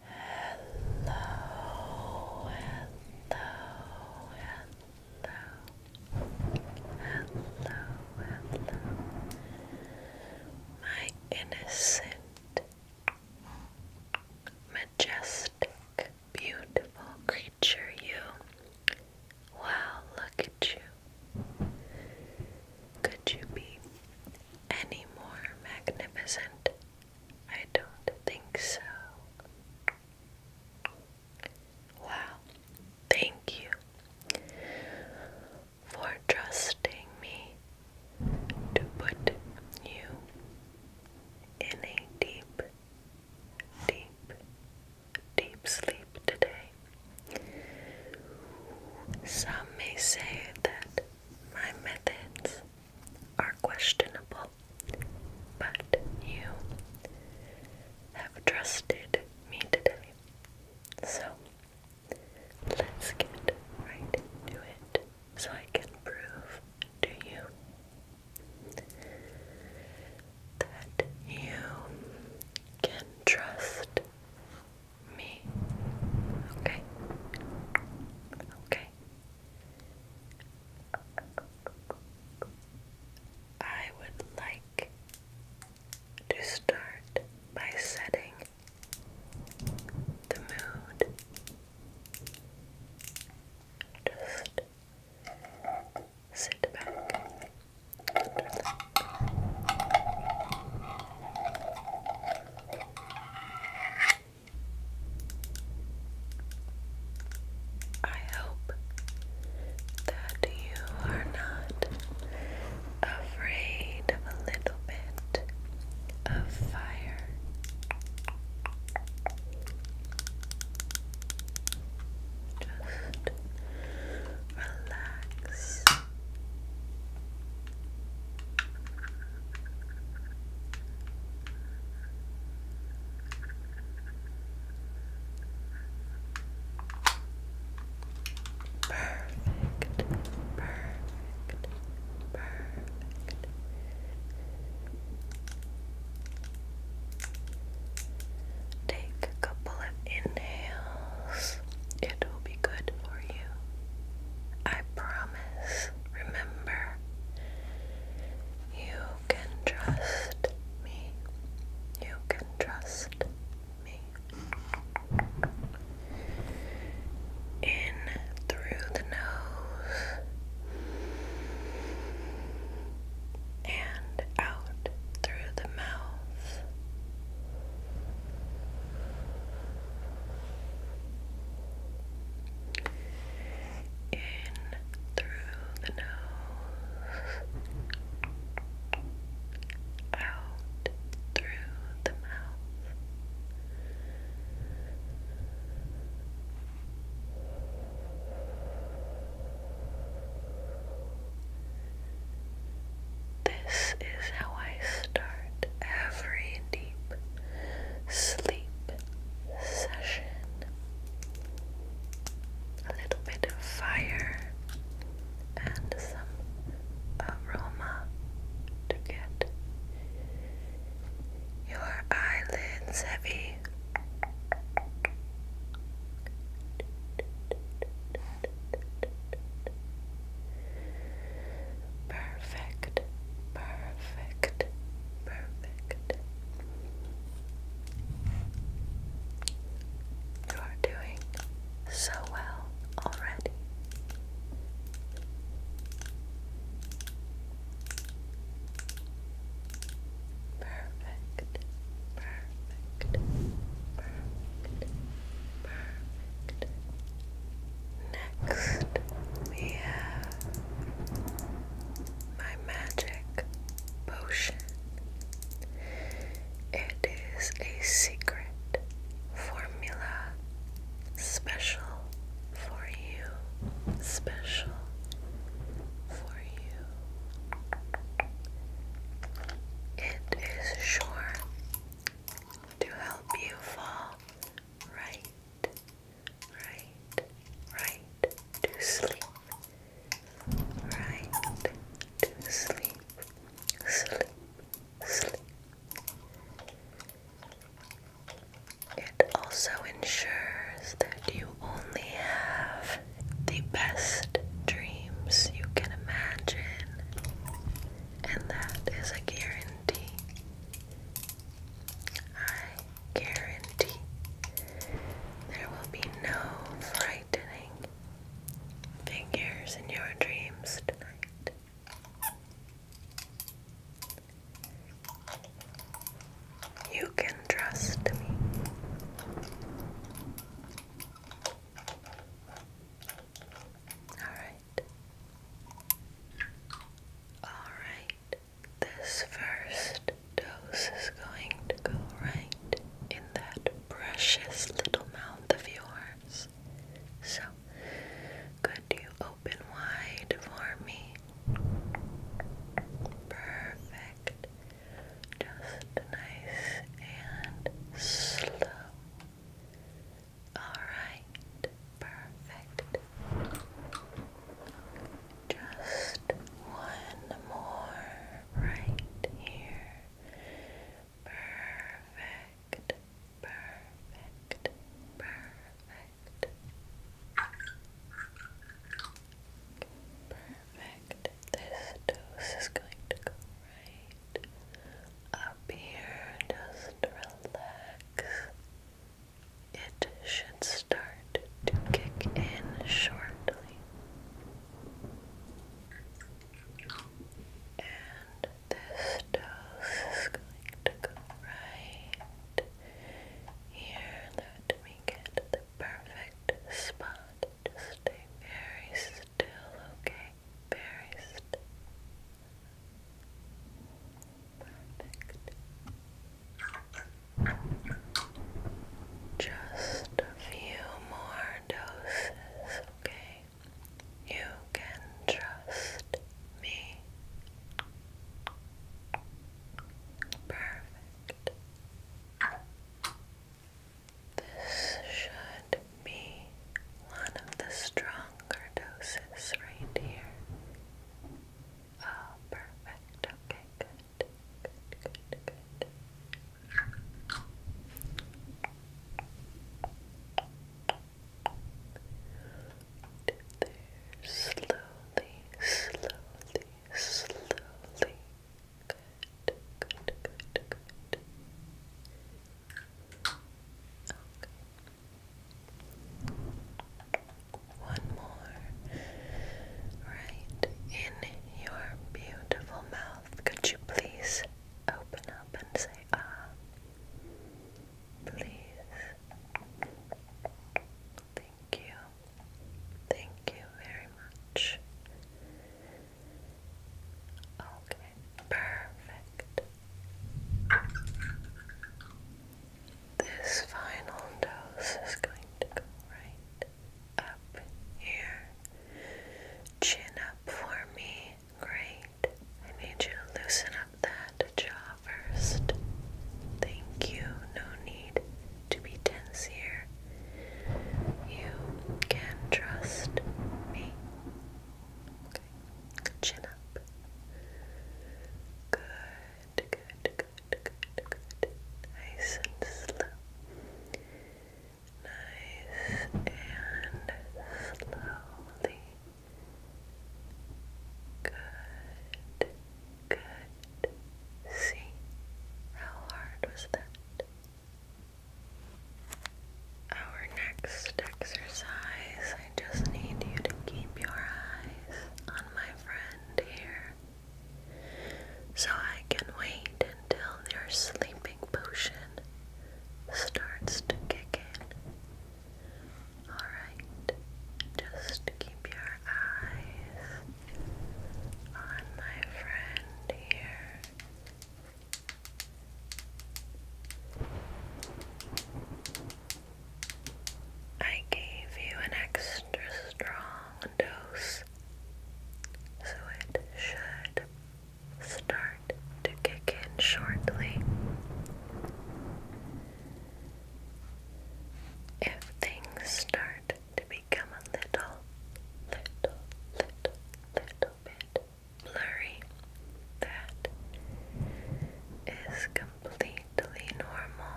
hello, hello, hello, hello, my innocent, majestic, beautiful creature, you. Wow, look at you. Could you be any more magnificent? I don't think so. Wow, thank you for trusting me to put you in a deep, deep, deep sleep today. Some may say that my methods are questionable, but you have trusted me today. So let's get right to it so I can prove to you that you can trust me. Okay. Okay. I would like to start by setting the mood. Just sit back. I hope that you are not afraid of a little bit of fire. Just relax. Perfect, perfect, perfect. Take a couple of inhales. It will be good for you. I promise promise. Remember, you can trust me. You can trust me. In through the nose and out through the mouth. In through the nose, out through the mouth. This is how I start every deep sleep session. A little bit of fire and some aroma to get your eyelids heavy. Perfect, perfect, perfect. You are doing so well already. Perfect, perfect, perfect, perfect. Next, we have my magic potion. It is a secret formula special for you, special for you. It is sure to help you fall right, right, right to sleep, right to sleep, sleep, sleep. It also ensures that you only have the best dreams you can imagine, and that is a guarantee. I guarantee there will be no frightening figures in your dreams tonight. You can trust me. Alright. Alright. This first dose is going to go right in that precious little mouth of yours. So, could you open wide for me? Perfect. Just nice and slow. Alright, perfect. Just one more right here. Perfect, perfect, perfect. Perfect. This dose is going to go right up here. Just relax. It should start to kick in shortly. And this dose is going to go right here. Let me get the perfect spot. Just stay very still, okay? Very still. Just a few more doses, okay? You can trust me. Perfect. This should be one of the stronger doses right here. Oh, perfect. Okay, good. Good, good, good. There, slowly, slowly, slowly. Good, good, good, good. Okay. One more. Right in your beautiful mouth. Could you please open up and say ah? Please. Thank you. Thank you very much. Okay. Perfect. This final dose is going to go right up here. Chin up for me. Great. I need you to loosen up that jaw first. Thank you. No need to be tense here. You can trust me chin up. Good, good, good, good, good. Nice and slow. Nice and slowly. Good, good. See, how hard was that? Our next exercise, I just need you to keep your eyes on my friend here so I can wait until their sleeping potion starts to kick in. Alright, just keep your eyes on my friend here. I gave you an extra strong dose, so it should start to kick in shortly. If things start to become a little, little, little, little bit blurry. That is completely normal.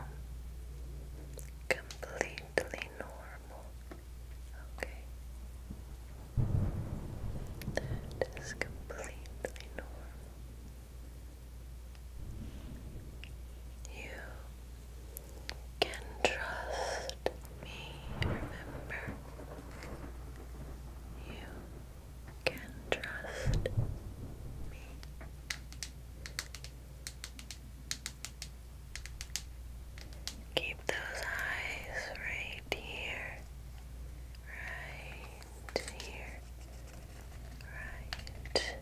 Completely normal. Okay. That is completely normal. You can trust me, remember? You can trust me. Keep those eyes right here, right here, right here.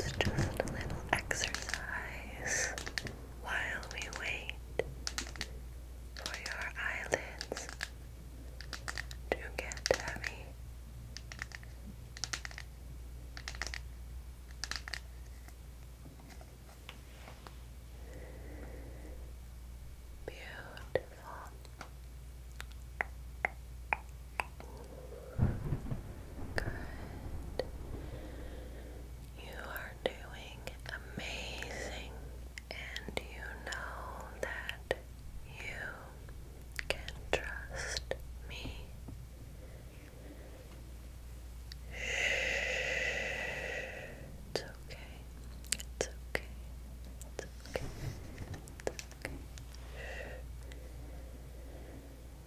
It's just a little exercise while we wait for your eyelids to get heavy. Beautiful. Good. You are doing amazing, and you know that you can trust me. It's okay. It's okay. It's okay. It's okay.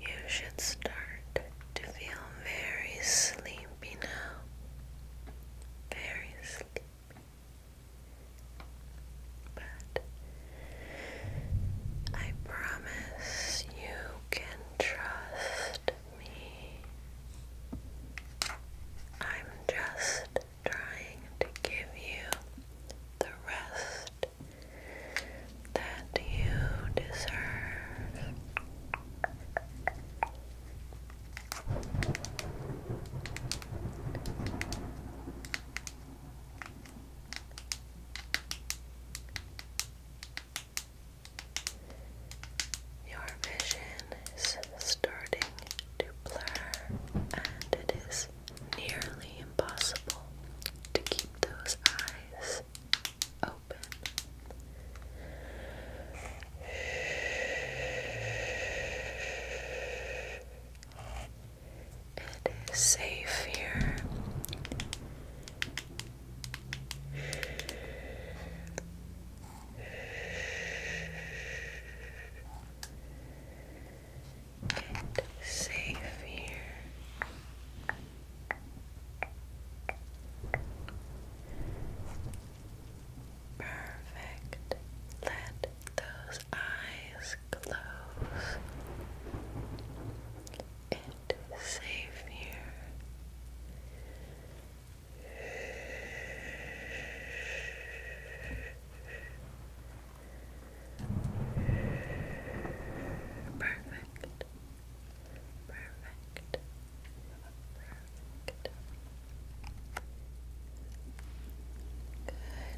You should start to feel very sleepy now. Very sleepy. But I promise you can trust me. I'm just trying to give you the rest that you deserve. Your vision is starting to blur, and it is nearly impossible to keep those eyes open. It is safe here and safe here. Perfect. Let those eyes close. And safe here. Perfect. Perfect.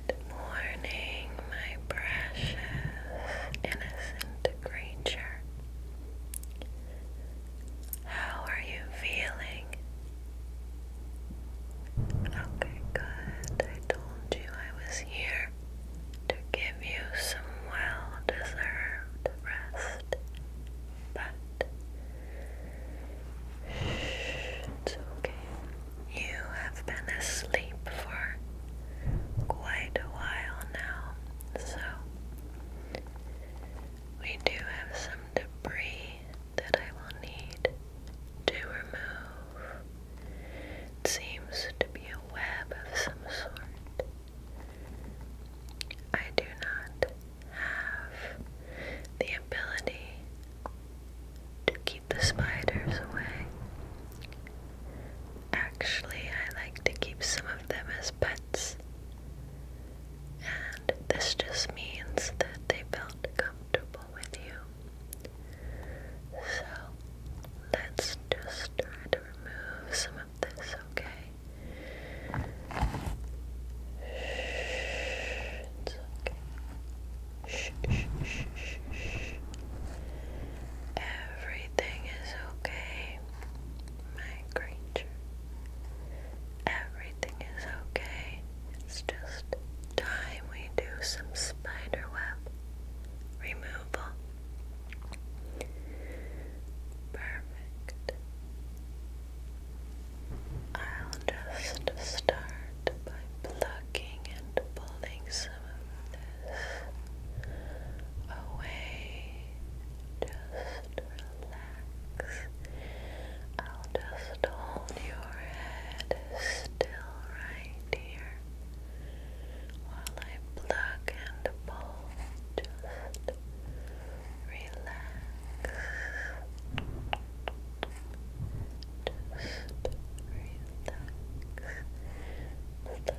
Good morning, my precious innocent creature. How are you feeling? Okay, good. I told you I was here to give you some well deserved rest. But it's okay. You have been asleep for quite a while now, so we do have some debris that I will need to remove. seems to be a web of some sort. I do not have the ability to keep the spiders away. Actually, I like to keep some of them as pets and this just means that they felt comfortable with you. So let's just try to remove some of this, okay? shh. Everything is okay my creature. Everything is okay. It's just time we do some spiderweb removal. Perfect. I'll just start by plucking and pulling some of this away. Just relax. I'll just hold your head still right here while I pluck and pull. Just relax. Just relax. Pluck and pull. Pluck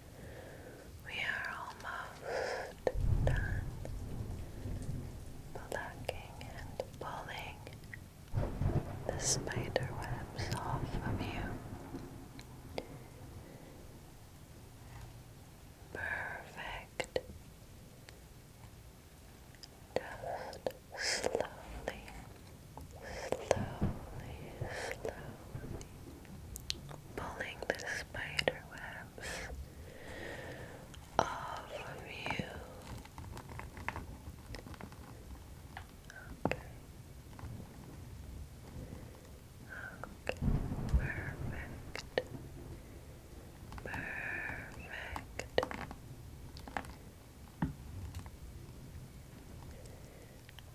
We are almost done plucking and pulling the spider off of you. Perfect. Just slowly slowly, slowly pulling the spider off of you. Okay. Okay. Perfect. Perfect.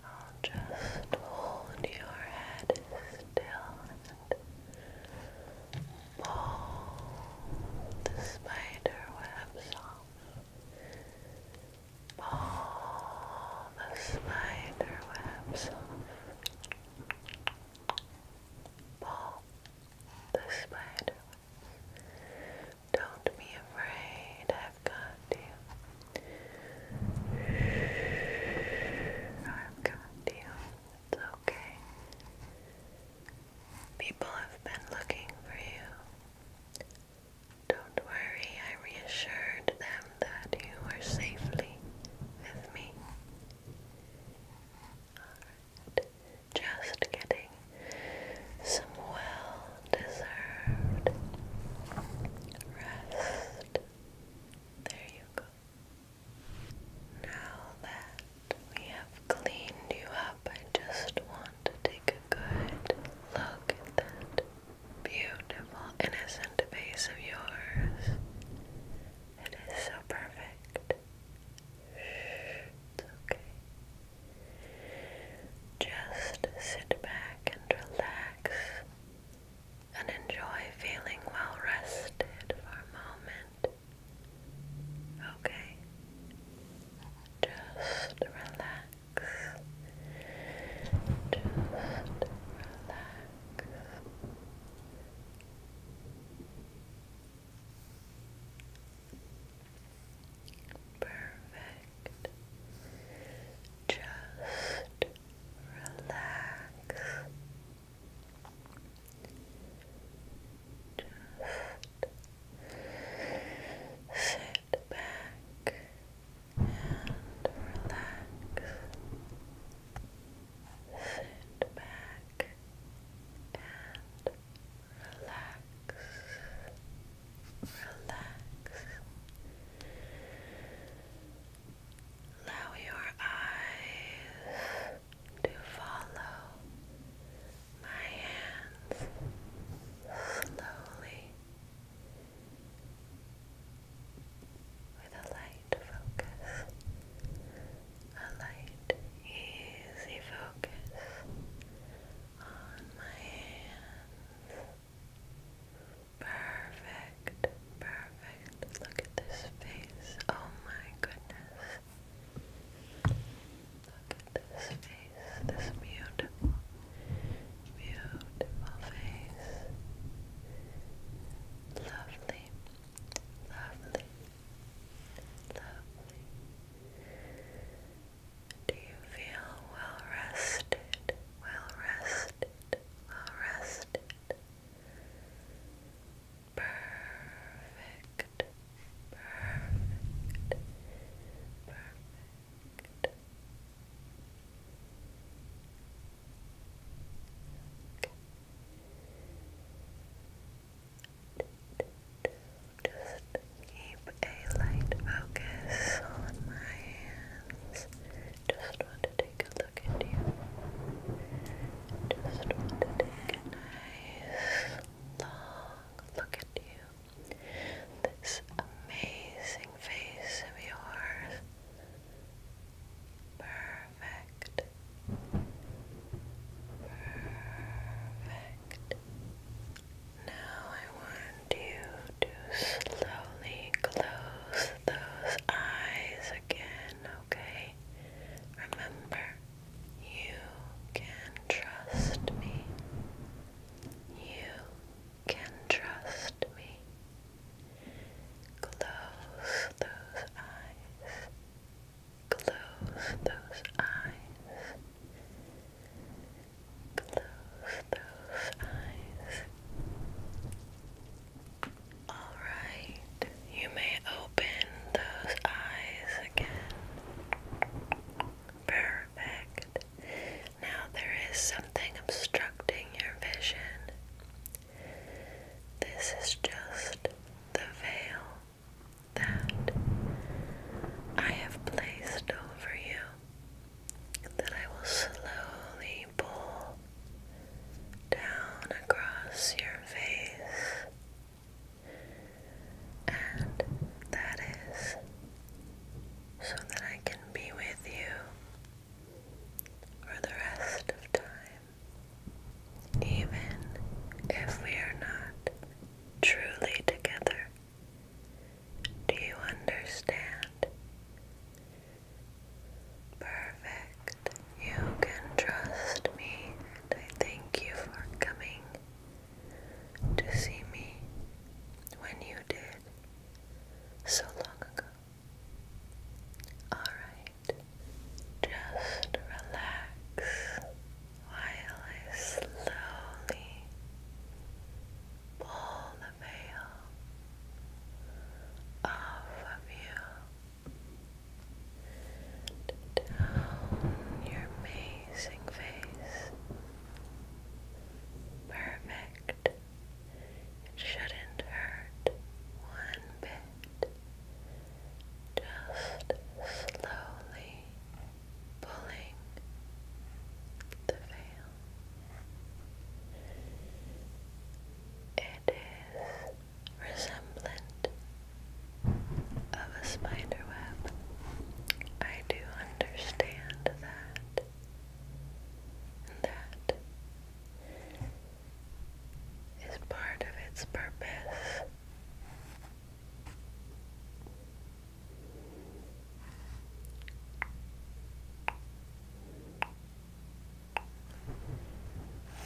I'll just hold your head still and pull the spider off. Pull the spider Pull the spider Don't be afraid. I've got I've got It's okay. People have been looking for you. Don't worry, I reassured them that you were safely with me. Alright, just getting some well deserved rest. There you go. Now that we have cleaned you up, I just want to take a good look at that beautiful, innocent face of yours. It is so perfect. It's okay. Just sit back and relax and enjoy feeling well rested for a moment. Okay? Just relax. Just relax. Perfect. Just relax. Just sit back and relax. Sit back and relax relax. Allow your eyes to follow my hands slowly with a light focus, a light, easy focus on my hands. Perfect, perfect. Look at this face. Oh my goodness. Look at this face. This beautiful, beautiful face. Lovely, lovely, lovely. Do you feel well rested? well rested, well rested. Perfect, perfect, perfect. Just keep a light focus on my hands. Just want to take a look at you. Just want to take a nice long look at you. This amazing face of yours. Perfect. Perfect. Now I want you to slowly close those eyes again, okay? Remember, you can trust me. You can trust me. Close those eyes. Close those eyes. Close those eyes. Alright, you may open those eyes again. Perfect. Now there is something obstructing your vision. This is just the veil that I have placed over you. Then I will slowly pull down across your face. And that is so that I can be with you for the rest of time, even if we are not truly together. Do you understand? Perfect. You can trust me, I thank you for coming to see me when you did so long ago. Alright, just relax while I slowly pull the veil off of you down your amazing face. Perfect. It shouldn't hurt one bit. Just slowly pulling the veil it is resemblant of a spider web. I do understand that. that is part of its purpose.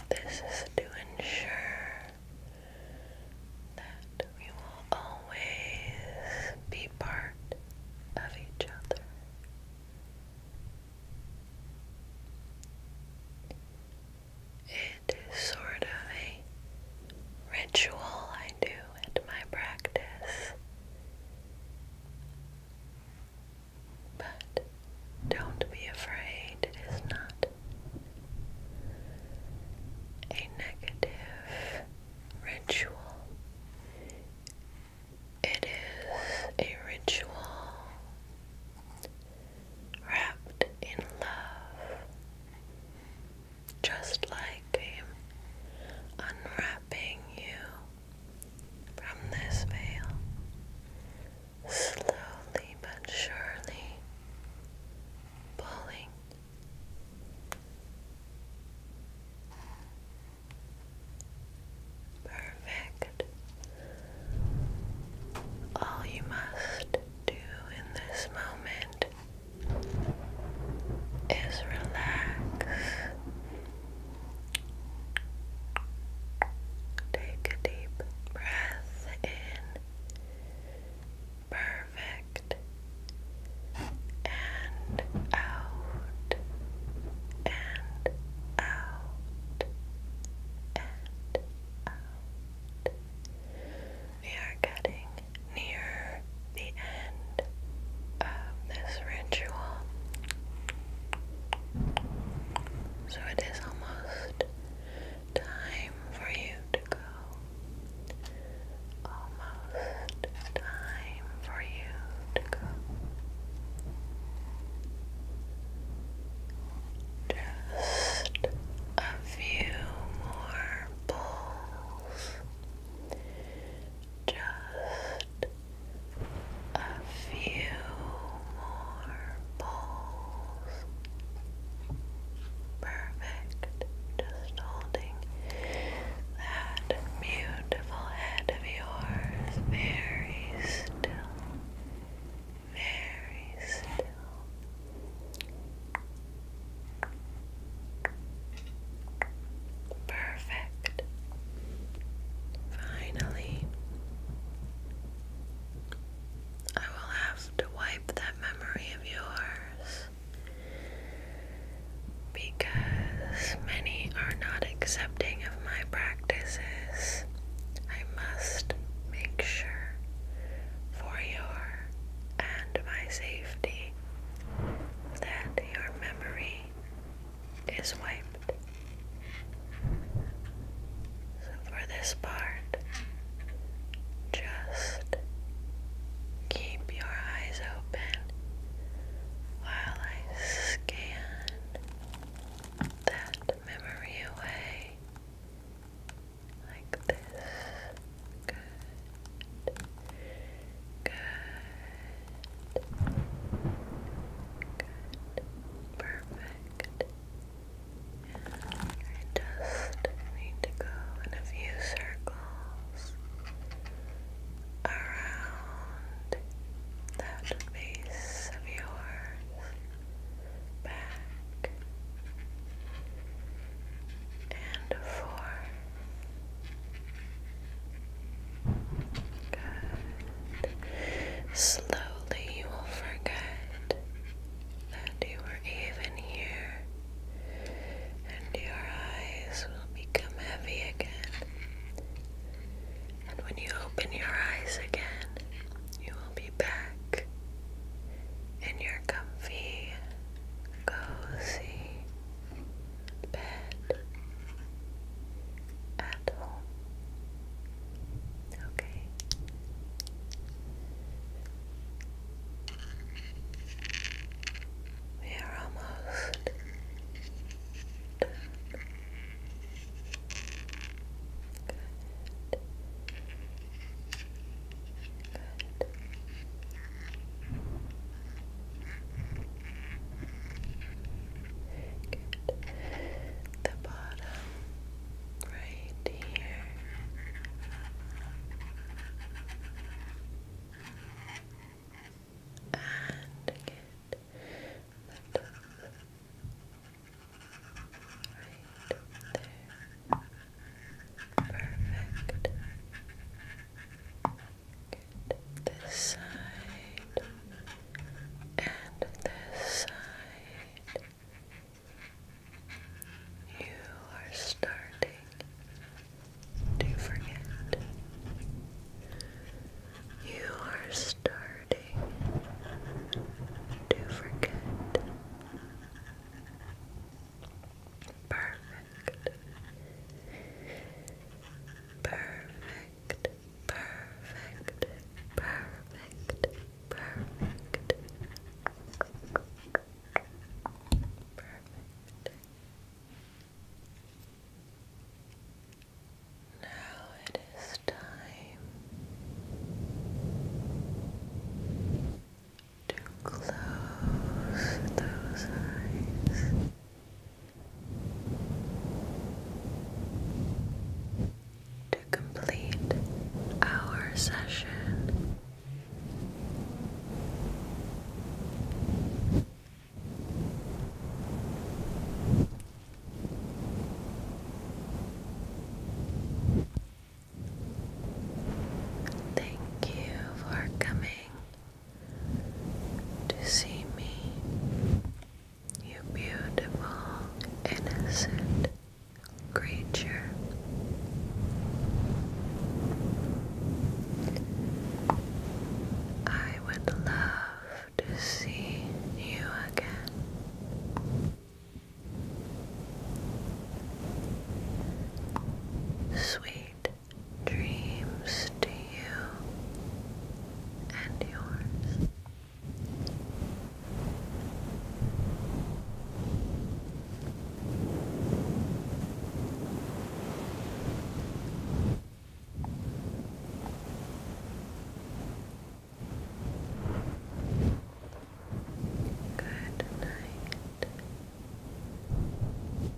This is to ensure that we will always be part of each other. It is sort of a ritual I do at my practice but don't be afraid, it is not a negative ritual. It is a ritual wrapped in love, just like him unwrapping you from this veil, slowly but surely pulling. Perfect. All you must do in this moment is relax Take a deep breath in. Perfect. And out. And out. And out. We are getting near the end of this ritual. So it is almost time for you to go. Almost time for you to go. Just a few more pulls. Just a few more balls, Perfect. Just holding that beautiful head of yours very still. Very still. Perfect. Finally, I will have to wipe that memory of yours because many are not accepting of my practices. I must make sure for your and my safety that your memory is wiped. So for this part, just keep your eyes open while I scan that memory away like this. Good. Good. Good. Perfect. I just need to go in a few circles around that face of yours back and forth Slowly you will forget that you were even here, and your eyes will become heavy again. And when you open your eyes again, you will be back in your comfy, cozy bed at home. Okay. We are almost Good. Good. Good. The bottom right here. And good. The top right there. Perfect. This side and this side. You are starting to forget. You are starting to forget. Perfect. Perfect, perfect, perfect, perfect. Now it is time to close those eyes. To complete our session, thank you for coming to see me, you beautiful, innocent creature. I would love to see you again. Sweet Dreams to you and yours. Good night.